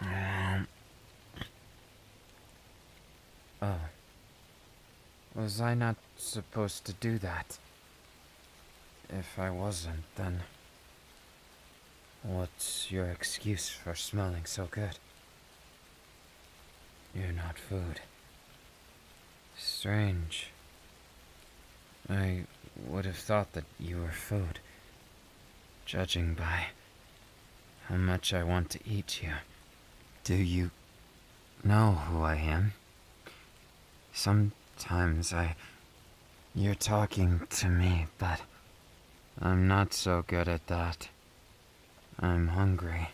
Um, oh. was I not supposed to do that? If I wasn't, then... What's your excuse for smelling so good? You're not food. Strange. I would have thought that you were food, judging by how much I want to eat you. Do you know who I am? Sometimes I... You're talking to me, but I'm not so good at that. I'm hungry.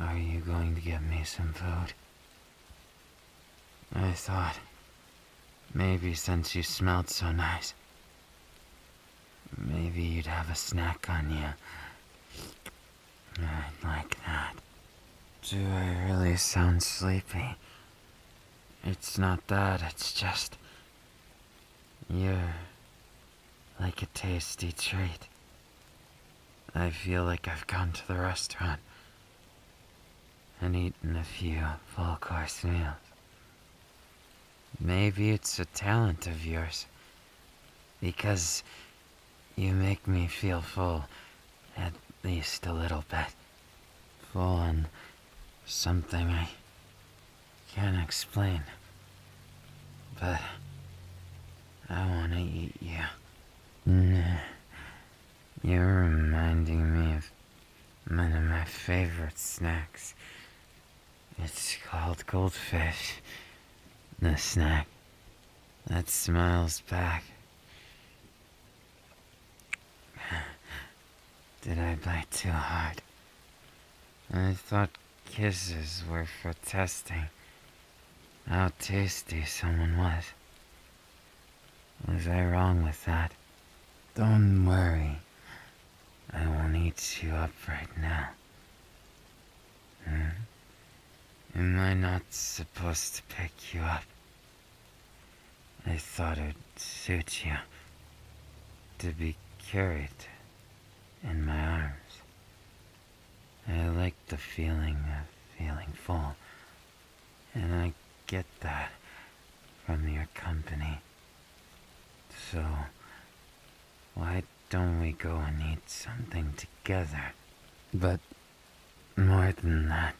Are you going to get me some food? I thought Maybe since you smelled so nice, maybe you'd have a snack on you. I'd like that. Do I really sound sleepy? It's not that, it's just. You're like a tasty treat. I feel like I've gone to the restaurant and eaten a few full course meals. Maybe it's a talent of yours. Because you make me feel full, at least a little bit. Full on something I can't explain. But I want to eat you. You're reminding me of one of my favorite snacks. It's called goldfish. The snack that smiles back. Did I bite too hard? I thought kisses were for testing how tasty someone was. Was I wrong with that? Don't worry. I won't eat you up right now. Hmm? Am I not supposed to pick you up? I thought it'd suit you to be carried in my arms. I like the feeling of feeling full, and I get that from your company. So, why don't we go and eat something together? But more than that,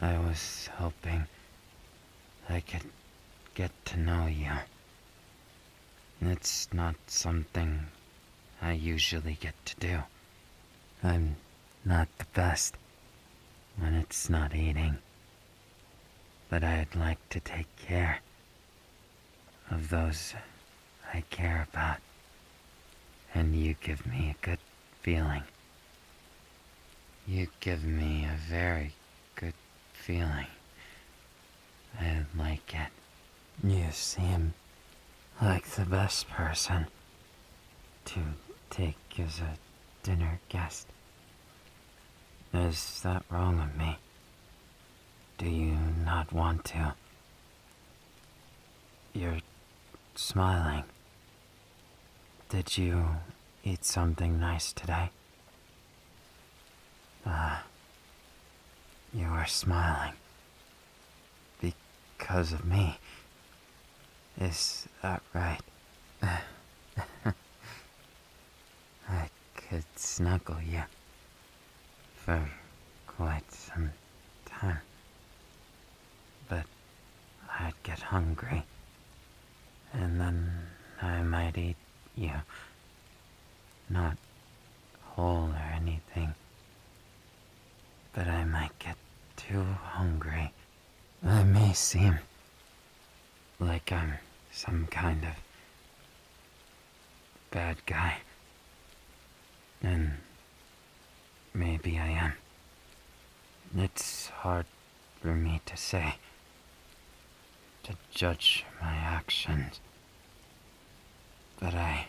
I was hoping I could get to know you. It's not something I usually get to do. I'm not the best when it's not eating. But I'd like to take care of those I care about. And you give me a good feeling. You give me a very good feeling. I like it. You seem like the best person to take as a dinner guest. Is that wrong of me? Do you not want to? You're smiling. Did you eat something nice today? Ah, you are smiling. Because of me, is that right? I could snuggle you for quite some time, but I'd get hungry, and then I might eat you. Not whole or anything, but I might get too hungry. I may seem like I'm some kind of bad guy. And maybe I am. It's hard for me to say, to judge my actions. But I.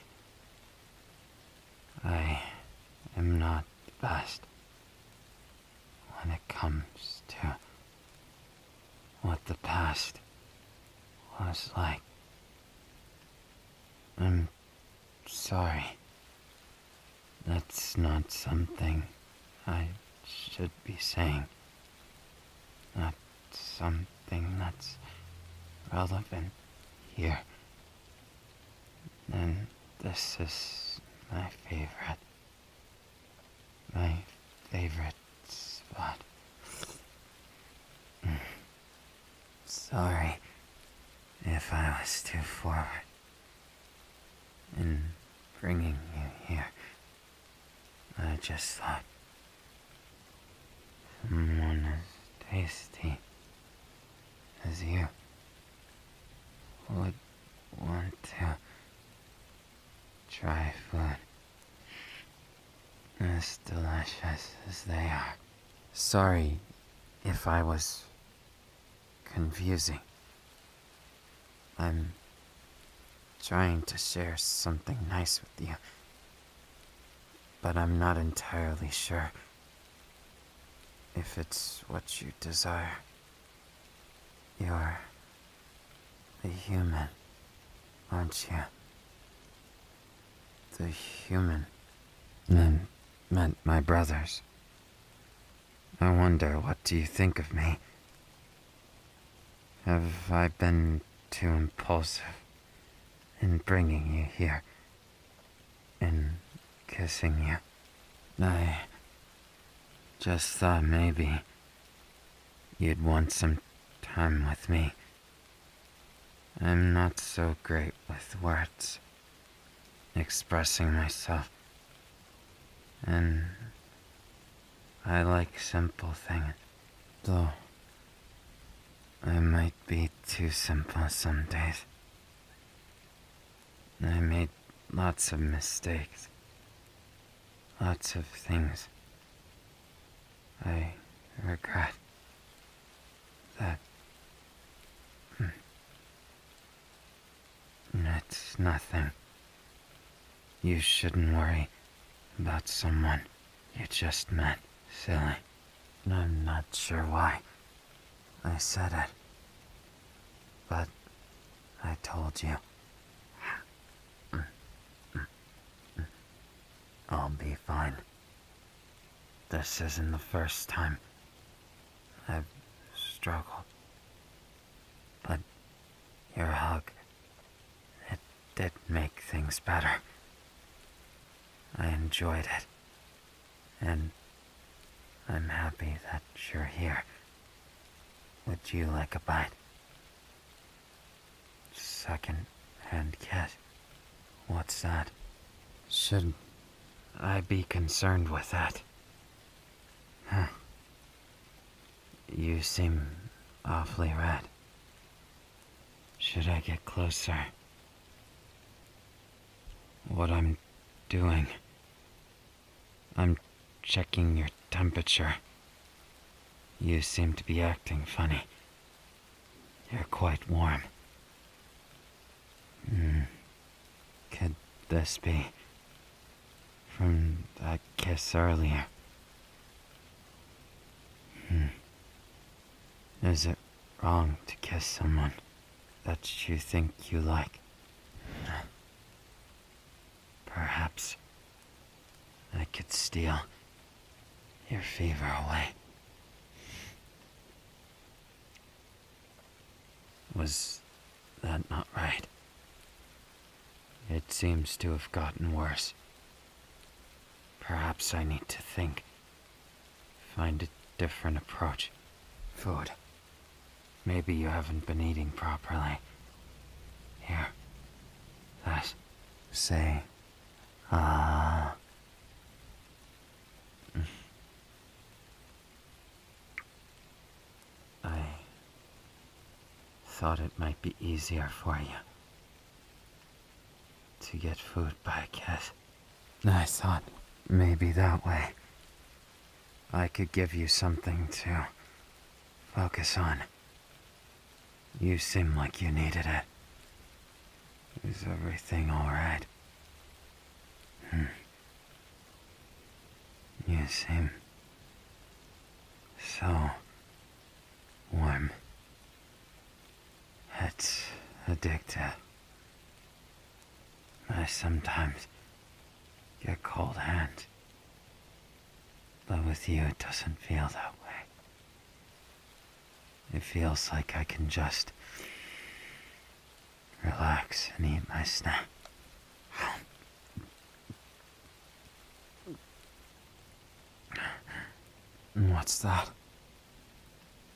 I am not the best when it comes to what the past was like. I'm sorry. That's not something I should be saying. Not something that's relevant here. And this is my favorite. My favorite spot. Hmm. Sorry if I was too forward in bringing you here. I just thought someone as tasty as you would Want to try food As delicious as they are. Sorry if I was confusing. I'm trying to share something nice with you, but I'm not entirely sure if it's what you desire. You're the human, aren't you? The human men meant my brothers. I wonder, what do you think of me? Have I been too impulsive in bringing you here? In kissing you. I just thought maybe you'd want some time with me. I'm not so great with words, expressing myself. And I like simple things, though I might be too simple some days. I made lots of mistakes. Lots of things. I regret that. Hmm. It's nothing. You shouldn't worry about someone you just met, silly. I'm not sure why I said it. But I told you. I'll be fine. This isn't the first time I've struggled. But your hug, it did make things better. I enjoyed it and I'm happy that you're here. Would you like a bite? Second hand cat. What's that? Should I be concerned with that? Huh. You seem awfully red. Should I get closer? What I'm doing I'm checking your temperature. You seem to be acting funny. You're quite warm. Hmm. Could this be from that kiss earlier? Hmm. Is it wrong to kiss someone? that you think you like. Perhaps I could steal your fever away. Was that not right? It seems to have gotten worse. Perhaps I need to think. Find a different approach. Food. Maybe you haven't been eating properly. Here. This. Say. Ah. I thought it might be easier for you to get food by cat. I thought maybe that way I could give you something to focus on. You seem like you needed it. Is everything alright? Hmm. You seem so warm. It's addictive. I sometimes get cold hands. But with you, it doesn't feel that way. It feels like I can just relax and eat my snack. What's that?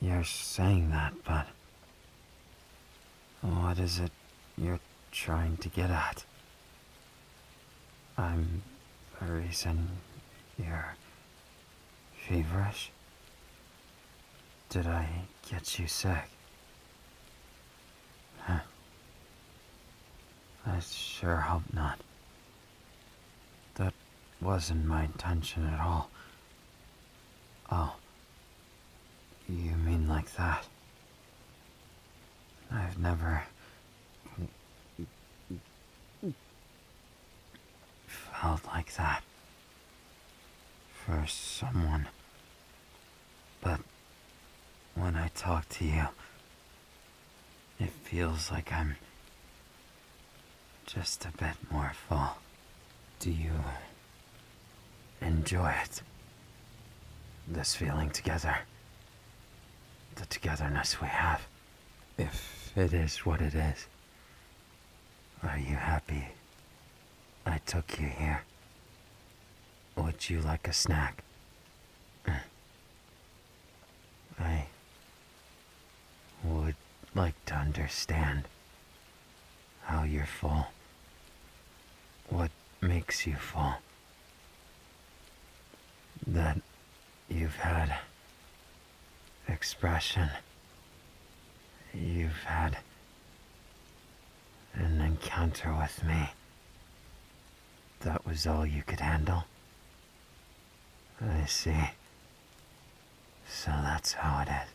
You're saying that, but what is it you're trying to get at? I'm very reason you're feverish? Did I get you sick? Huh. I sure hope not. That wasn't my intention at all. Oh, you mean like that? I've never... felt like that. For someone. But when I talk to you, it feels like I'm just a bit more full. Do you enjoy it. This feeling together. The togetherness we have. If it is what it is. Are you happy? I took you here. Would you like a snack? I would like to understand how you fall, what makes you fall, that you've had expression, you've had an encounter with me. That was all you could handle. I see. So that's how it is.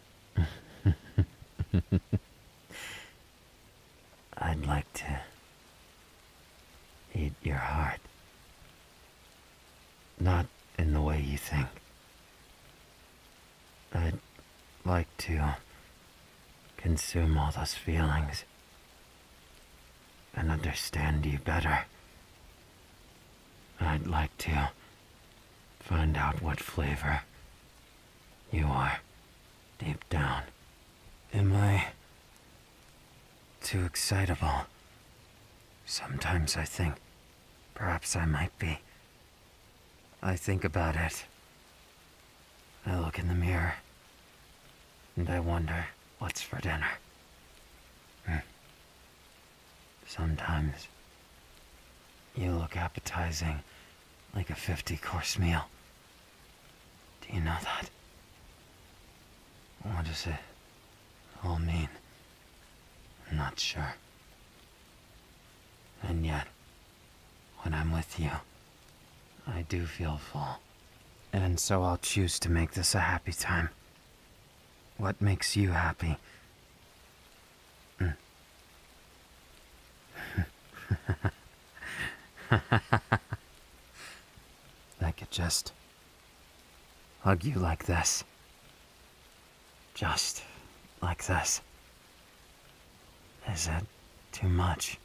I'd like to eat your heart. Not in the way you think. I'd like to consume all those feelings and understand you better. I'd like to Find out what flavor you are deep down. Am I too excitable? Sometimes I think perhaps I might be. I think about it. I look in the mirror and I wonder what's for dinner. Hmm. Sometimes you look appetizing like a 50 course meal. Do you know that? What does it all mean? I'm not sure. And yet, when I'm with you, I do feel full. And so I'll choose to make this a happy time. What makes you happy? Hmm. I could just hug you like this. Just like this. Is it too much?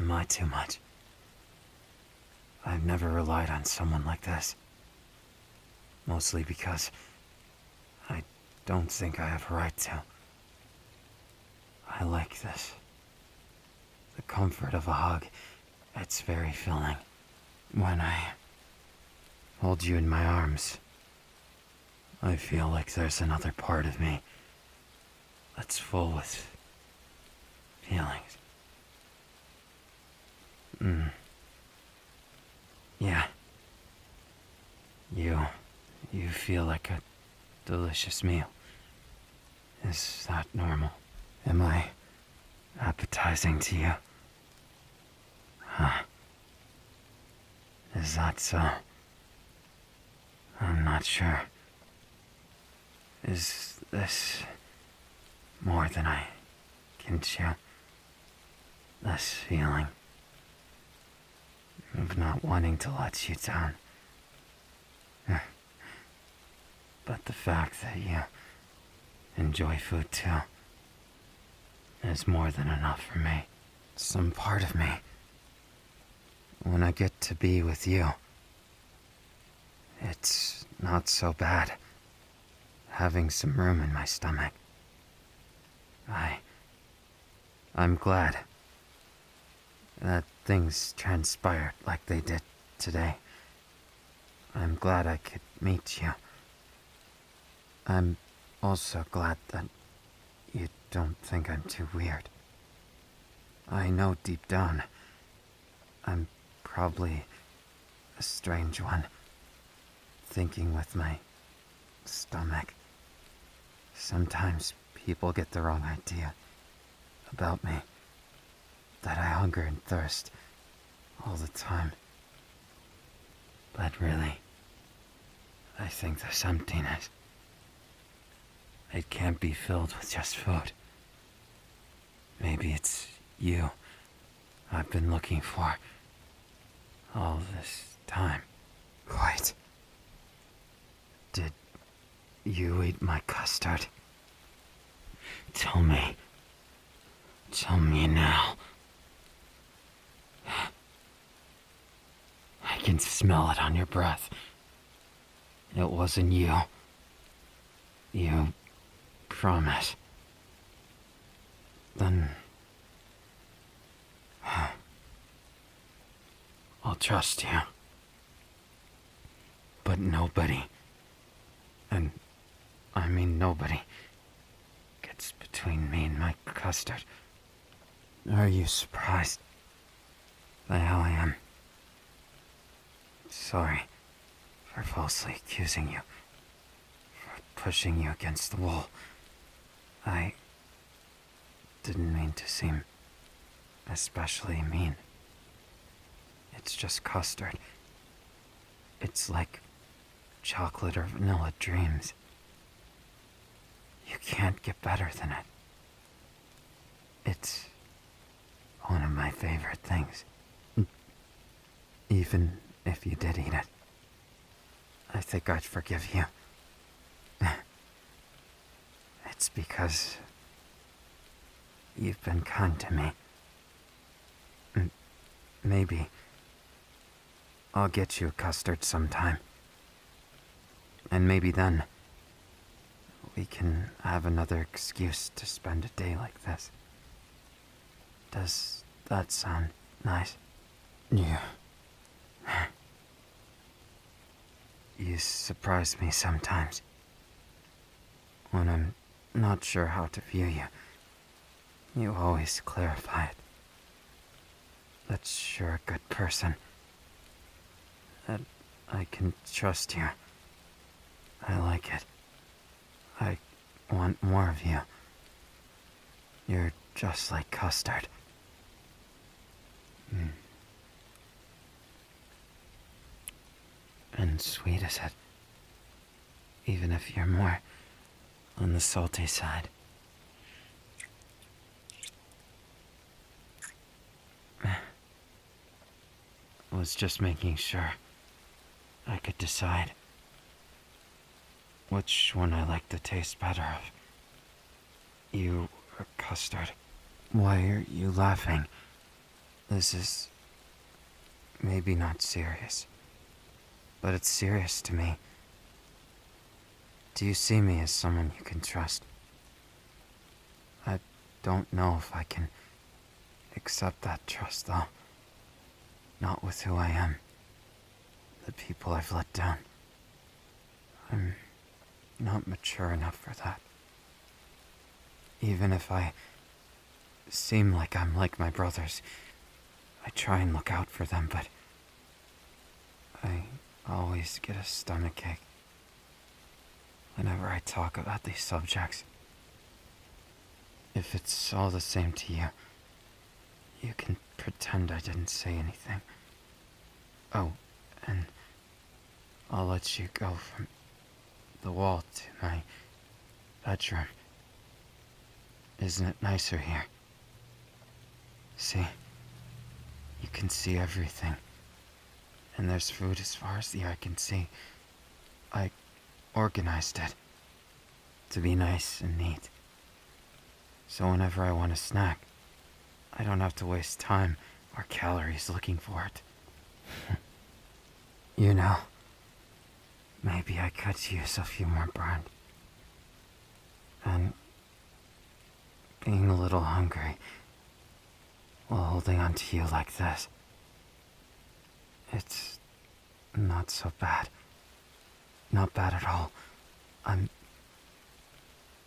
Am I too much? I've never relied on someone like this. Mostly because I don't think I have a right to. I like this. The comfort of a hug, it's very filling. When I hold you in my arms, I feel like there's another part of me that's full with feelings. Mm. Yeah. You. You feel like a delicious meal. Is that normal? Am I appetizing to you? Huh. Is that so? I'm not sure. Is this more than I can chew? This feeling of not wanting to let you down. But the fact that you enjoy food too is more than enough for me. Some part of me, when I get to be with you, it's not so bad having some room in my stomach. I. I'm glad that things transpired like they did today. I'm glad I could meet you. I'm also glad that you don't think I'm too weird. I know deep down, I'm probably a strange one, thinking with my stomach. Sometimes people get the wrong idea about me. That I hunger and thirst all the time. But really, I think this emptiness. It can't be filled with just food. Maybe it's you I've been looking for all this time? Quite. Did you eat my custard? Tell me. Tell me now. I can smell it on your breath. It wasn't you. You promise. Then I'll trust you. But nobody, and I mean nobody, gets between me and my custard. Are you surprised by how I am? Sorry for falsely accusing you for pushing you against the wall. I didn't mean to seem especially mean. It's just custard. It's like chocolate or vanilla dreams. You can't get better than it. It's one of my favorite things. Even if you did eat it. I think God forgive you. It's because you've been kind to me. maybe I'll get you a custard sometime. And maybe then we can have another excuse to spend a day like this. Does that sound nice? Yeah. you surprise me sometimes. When I'm not sure how to view you, you always clarify it. That's you're a good person. That I can trust you. I like it. I want more of you. You're just like custard. Hmm. And sweet as it. Even if you're more on the salty side. I was just making sure I could decide which one I like the taste better of? You or uh, custard? Why are you laughing? This is maybe not serious, but it's serious to me. Do you see me as someone you can trust? I don't know if I can accept that trust, though. Not with who I am the people I've let down. I'm not mature enough for that. Even if I seem like I'm like my brothers, I try and look out for them, but I always get a stomach ache whenever I talk about these subjects. If it's all the same to you, you can pretend I didn't say anything. Oh, and I'll let you go from the wall to my bedroom. Isn't it nicer here? See, you can see everything. And there's food as far as the eye can see. I organized it to be nice and neat. So whenever I want a snack, I don't have to waste time or calories looking for it. you know, maybe I could use a few more bread. And being a little hungry while holding on to you like this, it's not so bad. Not bad at all. I'm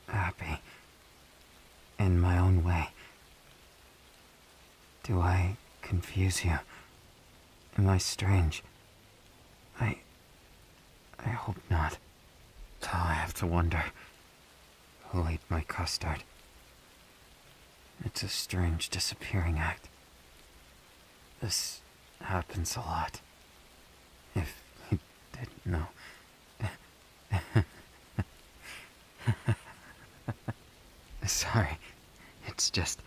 happy. In my own way. Do I confuse you? Am I strange? I. I hope not. Till I have to wonder who ate my custard. It's a strange disappearing act. This happens a lot. If you didn't know. Sorry, it's just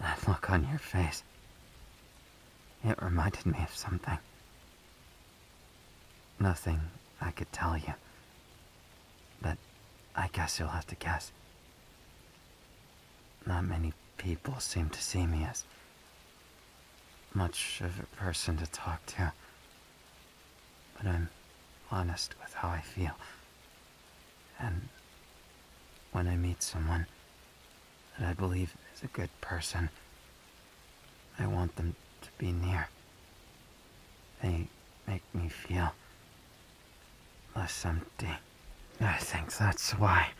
that look on your face. It reminded me of something. Nothing I could tell you. But I guess you'll have to guess. Not many people seem to see me as much of a person to talk to. But I'm honest with how I feel. And when I meet someone that I believe is a good person, I want them to be near. They make me feel less empty. I think that's why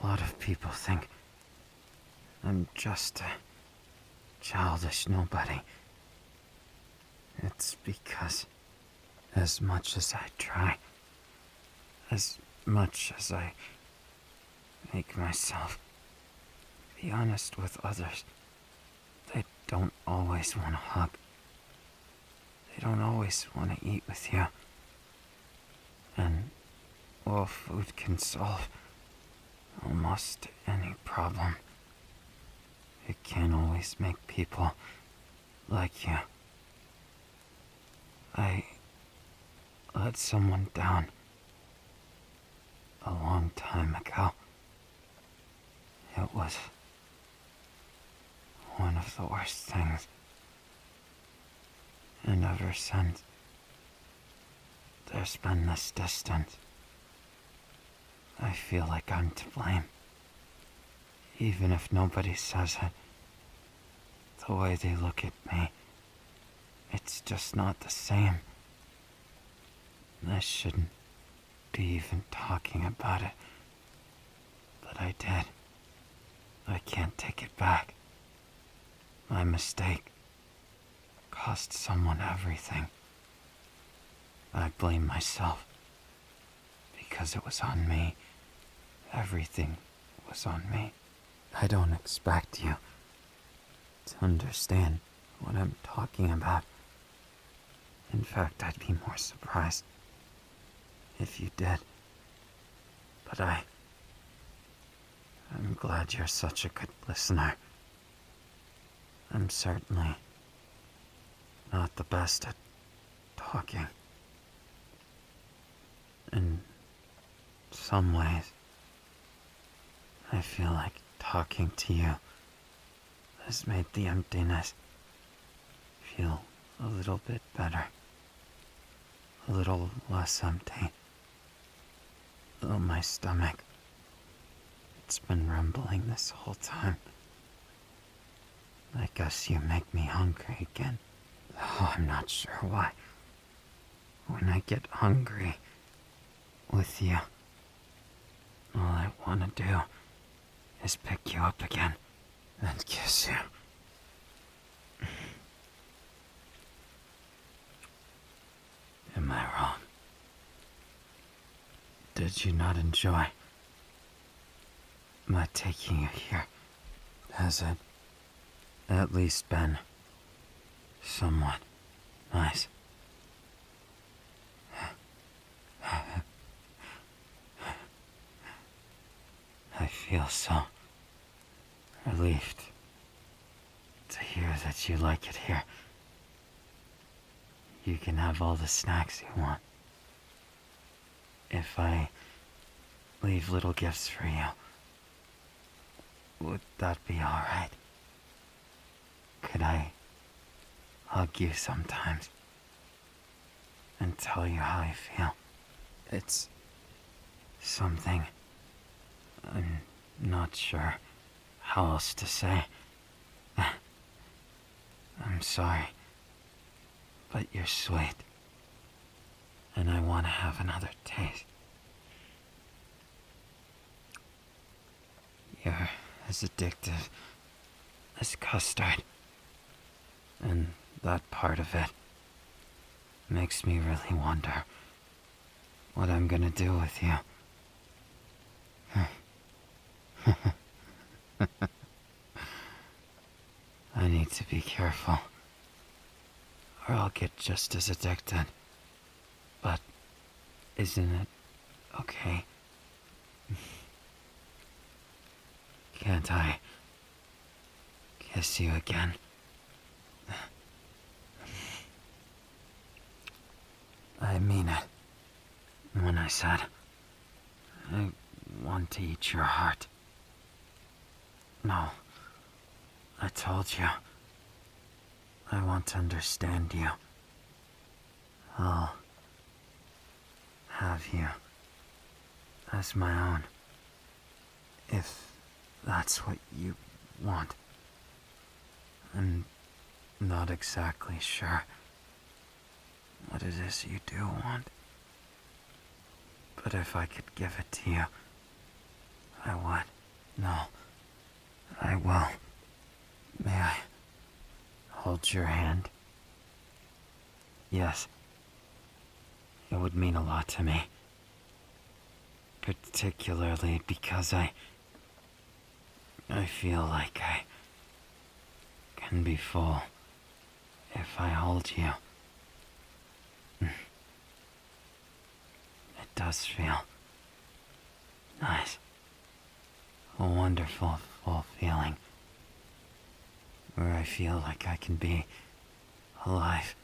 a lot of people think I'm just a childish nobody. It's because as much as I try, as much as I make myself be honest with others, they don't always want to hug. They don't always want to eat with you. And well, food can solve almost any problem. It can always make people like you. I let someone down a long time ago. It was one of the worst things. And ever since, there's been this distance. I feel like I'm to blame. Even if nobody says it, the way they look at me, it's just not the same. I shouldn't be even talking about it. But I did. I can't take it back. My mistake cost someone everything. I blame myself. Because it was on me. Everything was on me. I don't expect you to understand what I'm talking about. In fact, I'd be more surprised if you did. But I. I'm glad you're such a good listener. I'm certainly not the best at talking. In some ways, I feel like talking to you This made the emptiness feel a little bit better, a little less empty. Oh, my stomach, it's been rumbling this whole time. I guess you make me hungry again, Oh, I'm not sure why. When I get hungry with you, all I want to do is pick you up again and kiss you. Am I wrong? Did you not enjoy my taking you here? Has it at least been somewhat nice? I feel so relieved to hear that you like it here. You can have all the snacks you want. If I leave little gifts for you, would that be alright? Could I hug you sometimes? and tell you how I feel. It's something I'm not sure how else to say. I'm sorry, but you're sweet, and I want to have another taste. You're as addictive as custard and that part of it makes me really wonder what I'm gonna do with you. I need to be careful, or I'll get just as addicted. But isn't it okay can't I kiss you again? I mean it when I said I want to eat your heart. No, I told you I want to understand you. I'll have you as my own. If that's what you want. I'm not exactly sure what it is you do want. But if I could give it to you, I would. No, I will. May I hold your hand? Yes. It would mean a lot to me. Particularly because I... I feel like I... can be full if I hold you. It does feel... nice a wonderful, full feeling where I feel like I can be alive,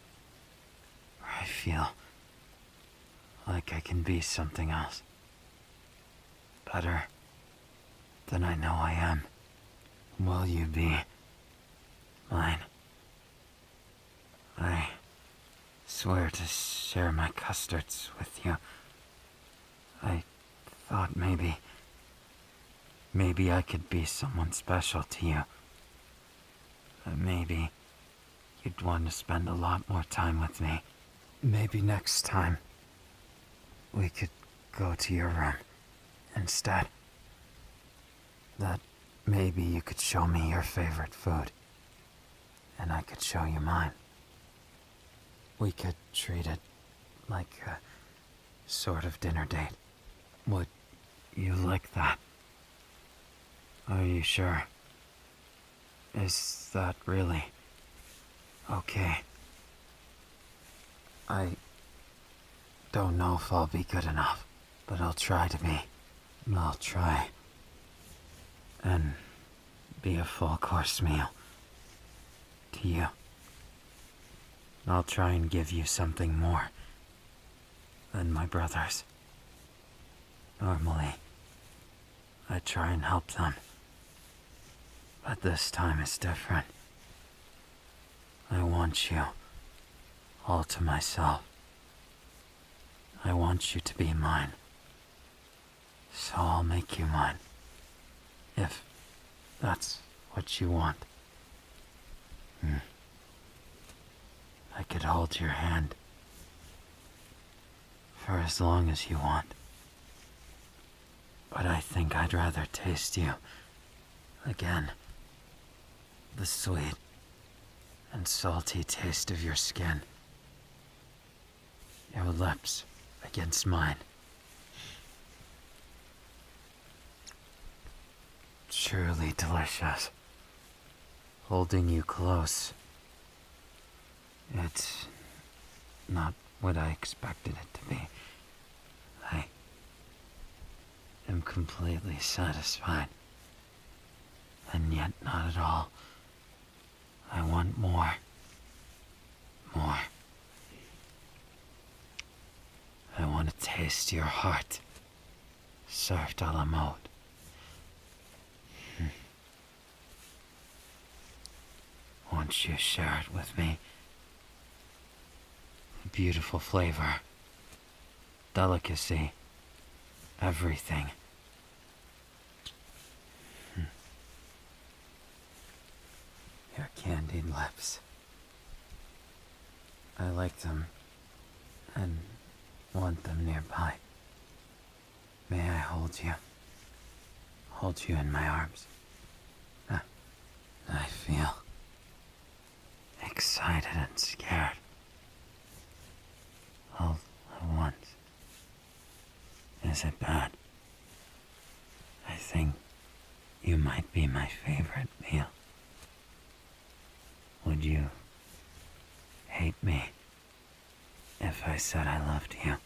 where I feel like I can be something else, better than I know I am. Will you be mine? I swear to share my custards with you I thought maybe... Maybe I could be someone special to you. Uh, maybe you'd want to spend a lot more time with me. Maybe next time we could go to your room instead. That maybe you could show me your favorite food and I could show you mine. We could treat it like sort of dinner date. Would you like that? Are you sure? Is that really okay? I don't know if I'll be good enough, but I'll try to be. I'll try. And be a full course meal to you. I'll try and give you something more than my brothers. Normally, I try and help them. But this time is different. I want you all to myself. I want you to be mine. So I'll make you mine if that's what you want. Hmm. I could hold your hand for as long as you want. But I think I'd rather taste you again. The sweet and salty taste of your skin. Your lips against mine. Surely delicious. Holding you close. It's not what I expected it to be. I am completely satisfied. And yet not at all. I want more more. I want to taste your heart, served a mode. Hmm. Won't you share it with me? Beautiful flavor, delicacy, everything. Hmm. Your candied lips. I like them and want them nearby. May I hold you? Hold you in my arms. Ah, I feel excited and scared. All at once. Is it bad? I think you might be my favorite meal. Would you hate me if I said I loved you?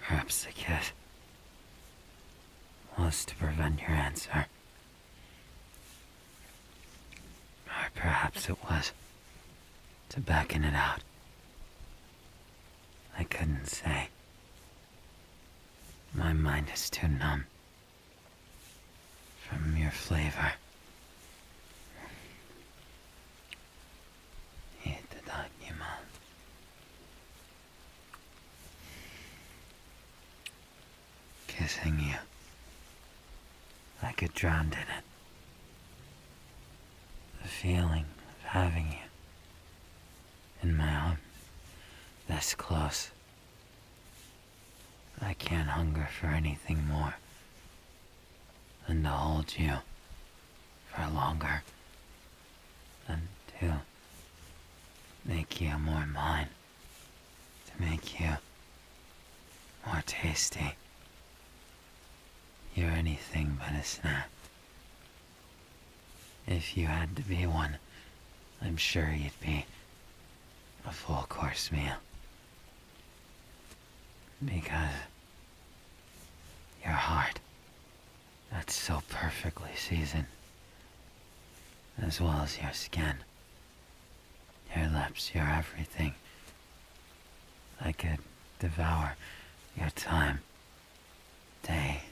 Perhaps the kiss was to prevent your answer. Or perhaps it was to back in it out. I couldn't say. My mind is too numb from your flavor. Kissing you. I get drowned in it. The feeling of having you in my arms, this close. I can't hunger for anything more than to hold you for longer than to make you more mine, to make you more tasty you're anything but a snack. If you had to be one, I'm sure you'd be a full course meal. Because your heart, that's so perfectly seasoned, as well as your skin, your lips, your everything, I could devour your time day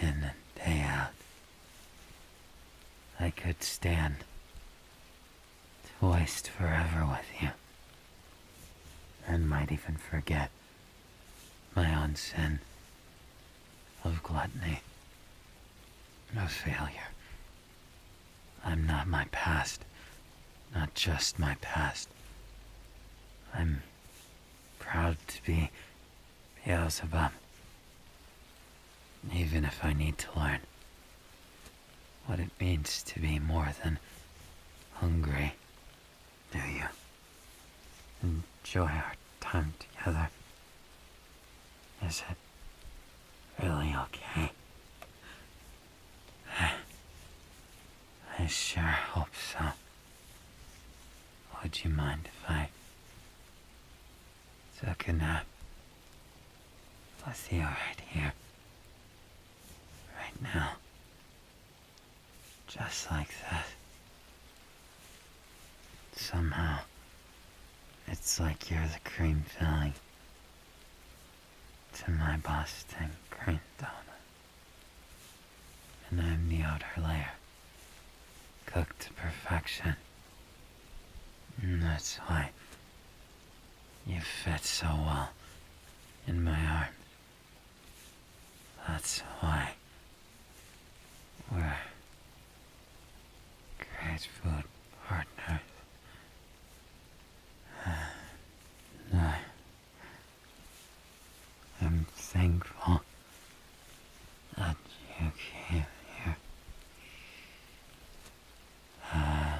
in and day out. I could stand to waste forever with you and might even forget my own sin of gluttony, of failure I'm not my past, not just my past. I'm proud to be Beelzebub, even if I need to learn what it means to be more than hungry. Do you enjoy our time together? Is it really okay? I sure hope so. Would you mind if I took a nap? Was he alright here? Right now. Just like that. Somehow, it's like you're the cream filling to my Boston cream Donut. And I'm the outer layer, cooked to perfection. that's why you fit so well in my arms. That's why we're great food partners. I am thankful that you came here.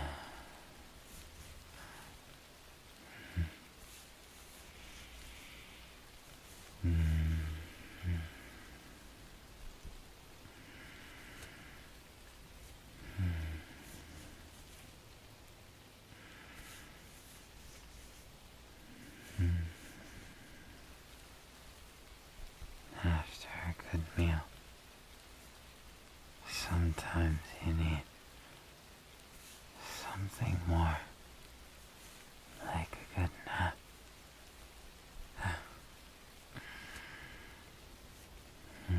Hmm. Hmm. Hmm. After a good meal, sometimes you need something more, like a good nap.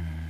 Hmm.